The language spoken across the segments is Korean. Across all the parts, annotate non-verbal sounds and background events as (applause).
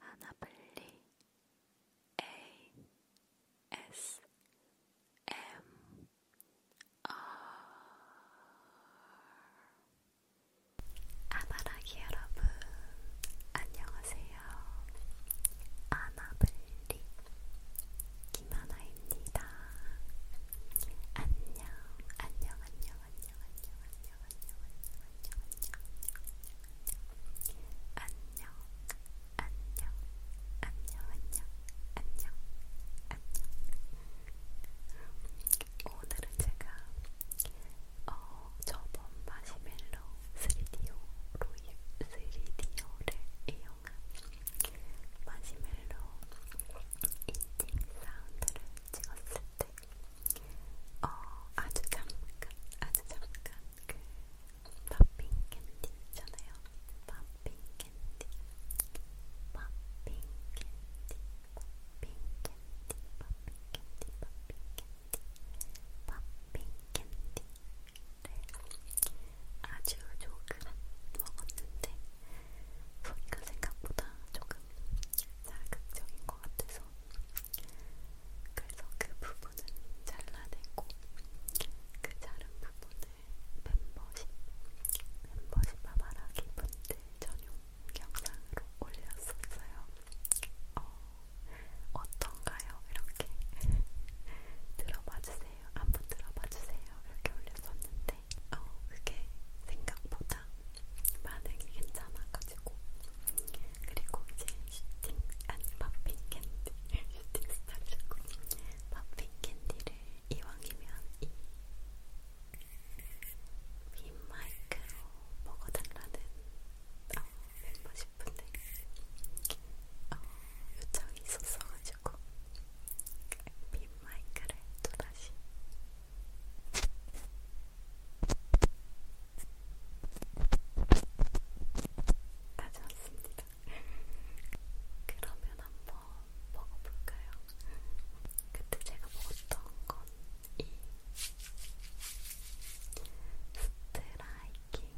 하나빨리 ASMR 아바라기 여러분 안녕하세요. 아나블리 김하나입니다. 안녕 안녕 안녕 안녕 안녕 오늘은 제가 어, 저번 마시멜로 3DO 로이 3DO를 이용한 마시멜로 인팅 사운드를 찍었을 때 어, 아주 잠깐, 아주 잠깐 그 팝핑 캔디 있잖아요. 팝핑 캔디, 팝핑 캔디, 팝핑 캔디, 팝핑 캔디, 팝핑 캔디, 팝핑 캔디. 네, 아주 조금 먹었는데 소리가 생각보다 조금 자극적인 것 같아서 있죠. 그래서 그 부분은 잘라내고 그 자른 부분을 멤버십, 멤버십 바바라기 분들 전용 영상으로 올렸었어요. 어, 어떤가요? 이렇게 (laughs) 들어봐주세요. 한번 들어봐주세요. 이렇게 올렸었는데 어, 그게 생각보다 반응이 괜찮아가지고 그리고 이제 슈팅 아니 팝핑 캔디 (laughs) 슈팅 스타일이고 팝핑 캔디를 이왕이면 이 빈마이크로 먹어달라는 어, 멤버 싶은데 어, 요청이 있었어가지고 빈마이크를 또다시 가져왔습니다. (laughs) 그러면 한번 먹어볼까요? 그때 제가 먹었던 건 이 스트라이킹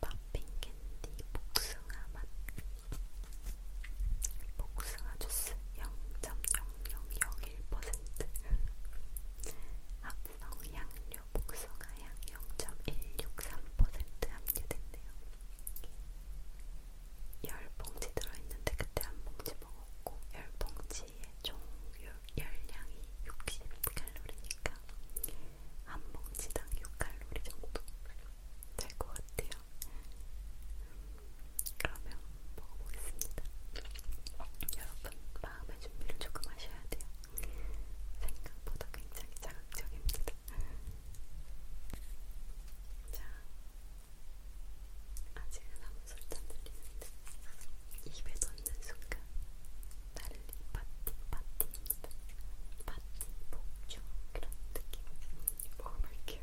팝핑 캔디 복숭아 맛 복숭아 주스 0.0001 0.01% 합성 양료 복숭아향 0.163% 함유됐네요. 열 봉지 들어있는데 그때 한 봉지 먹었고 열 봉지의 총 열량이 60칼로리니까 한 봉지당 6칼로리 정도 될 것 같아요. 그러면 먹어보겠습니다. 여러분 마음의 준비를 조금 하셔야 돼요. 생각보다 굉장히 자극적입니다. 자, 아직은 아무 소리도 안 들리는데 입에 넣는 순간 나를 파티 파티입니다. 파티 복주 그런 느낌 먹어볼게요.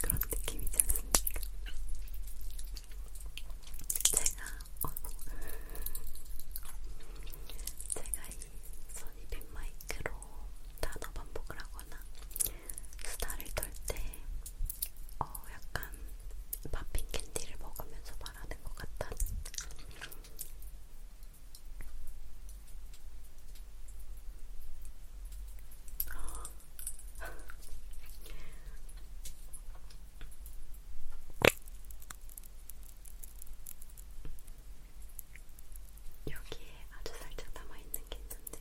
그런 느낌이지 않습니까? 제가 어, 제가 이 소니빈 마이크로 단어 반복을 하거나 수다를 떨때 어, 약간 팝핑 캔디를 먹으면서 말하는 것 같다는 어, 여기에 아주 살짝 남아있는 게 있는데.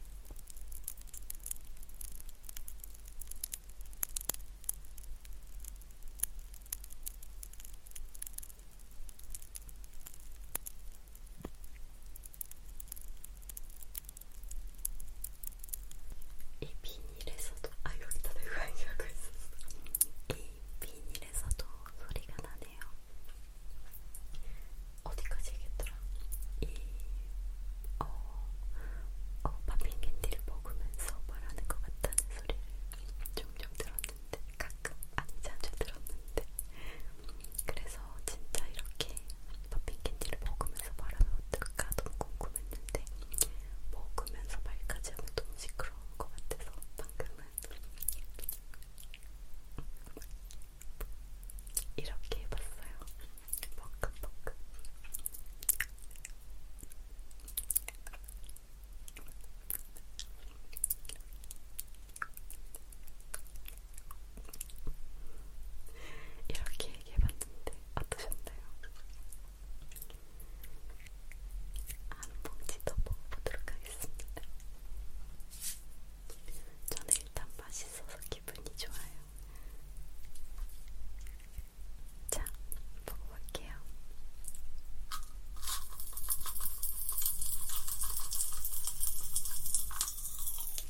이 비닐에서도 아 여기다 내고 하려고 했었어. 이 비닐에서도 소리가 나네요. 어디까지 얘기했더라? 이 어, 어 팝핑 캔디를 먹으면서 말하는 것 같다는 소리를 종종 들었는데 가끔 아니 자주 들었는데 그래서 진짜 이렇게 팝핑캔디를 먹으면서 말하면 어떨까 너무 궁금했는데 먹으면서 말까지 하면 너무 시끄러운 것 같아서 방금은 이렇게 해봤어요. 먹금먹금 이렇게 얘기해봤는데 어떠셨나요? 한 봉지 더 먹어보도록 하겠습니다. 저는 일단 맛있어서 기분이 좋아요. 자, 먹어볼게요.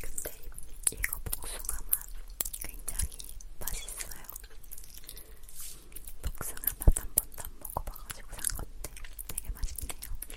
근데 이거 복숭아 맛 굉장히 맛있어요. 복숭아 맛한 번도 안 먹어봐가지고 산 건데 되게 맛있네요. 음,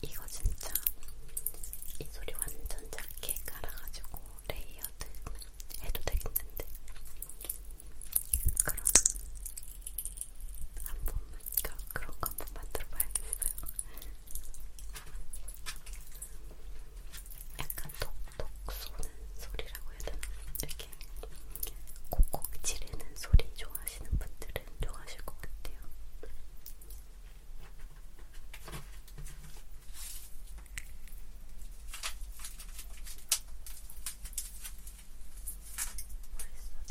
이거 진짜 이 소리 완전 작게 깔아가지고 레이어드 해도 되겠는데 그럼 한 번만 그런 거한 번만 들어봐야겠어요. 약간 톡톡 쏘는 소리라고 해야 되나? 이렇게 콕콕 지르는 소리 좋아하시는 분들은 좋아하실 것 같아요. 벌써 되겠지?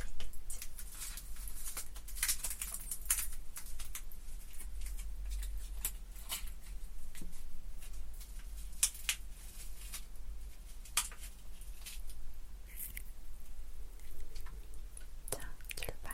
자, 출발.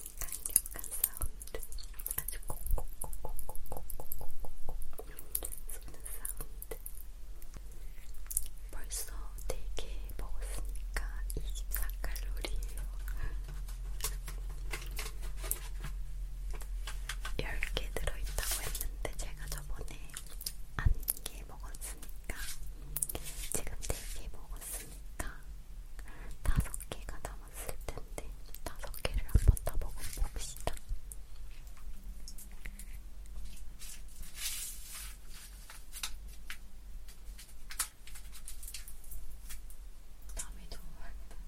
강력한 사운드 아주 콕콕콕콕콕콕콕콕콕콕 쏘는 사운드 벌써 4개 먹었으니까 24칼로리에요 10개 들어있다고 했는데 제가 저번에 1개 먹었으니까 지금 4개 먹었어요 있으니까 다섯 개가 남았을 텐데 다섯 개를 한번 다 먹어봅시다. 남이 너무 많이 나네.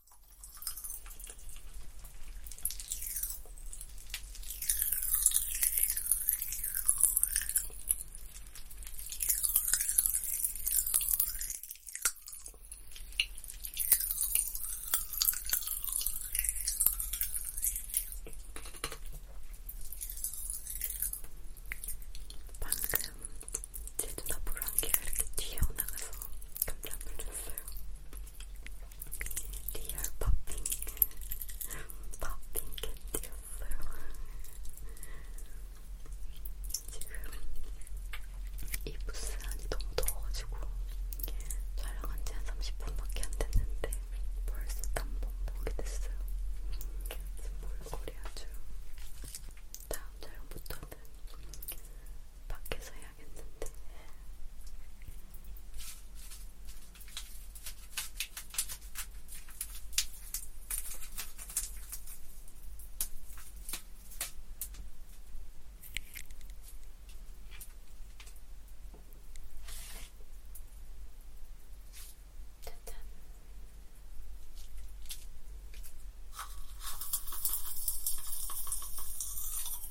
방금 제 눈앞으로 한 개가 이렇게 튀어나가서 깜짝 놀랐어요. 리얼 팝핑 팝핑 캣이었어요. 지금 이 부스 안이 너무 더워가지고 촬영한 지한 30분밖에 안 됐는데 벌써 단번 보게 됐어요. 지금 몰골이 아주 다음 촬영부터는 밖에서 해야 해야겠는데. 짜잔.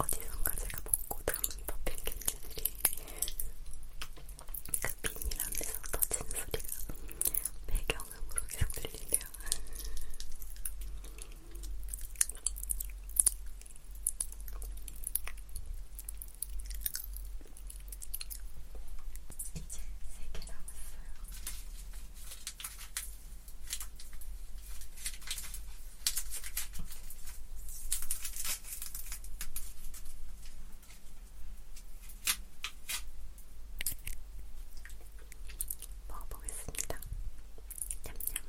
어디선가 제가 먹고 담은 퍼핀 캔디들이 그 빈이라면서 터지는 소리가 배경음으로 계속 들리는 같아요. 이제 세 개 남았어요. 음. 먹어보겠습니다. 냠냠. 음.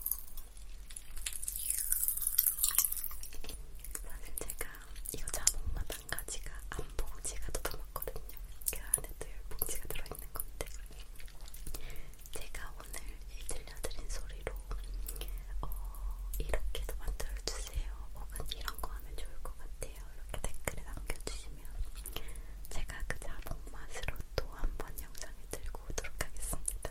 사실 제가 이거 자몽맛 한 가지가 안봉지가 더 담았거든요. 그 안에도 열봉지가 들어있는 건데 제가 오늘 이 들려드린 소리로 어, 이렇게도 만들어주세요. 혹은 이런 거 하면 좋을 것 같아요. 이렇게 댓글에 남겨주시면 제가 그 자몽맛으로 또한번 영상을 들고 오도록 하겠습니다.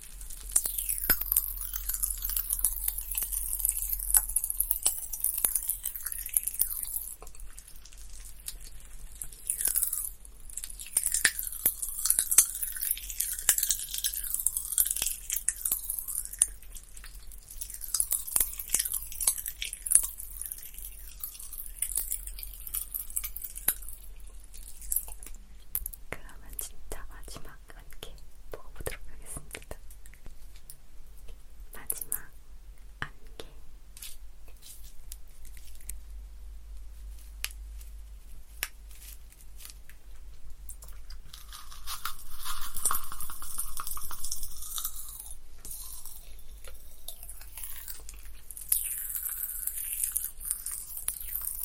그러면 진짜 마지막 마지막 함께 먹어보도록 하겠습니다. 마지막 안개.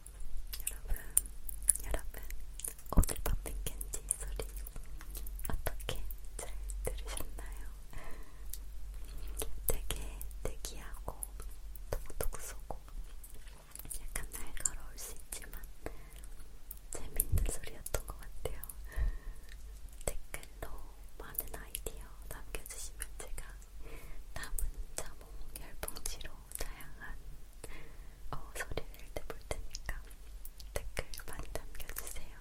여러분, 여러분, 오늘 밤의 캔디 소리 어떻게 잘 들으셨나요? 되게 특이하고 톡톡 쏘고 약간 날카로울 수 있지만 재밌는 소리였던 것 같아요. 댓글로 많은 아이디어 남겨주시면 제가 남은 자몽 열봉지로 다양한 어, 소리를 내볼 테니까 댓글 많이 남겨주세요.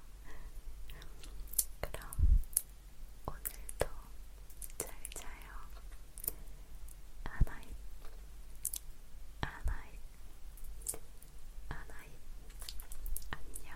그럼 오늘도 잘 자요. 아나잇, 아나잇, 아나잇, 안녕.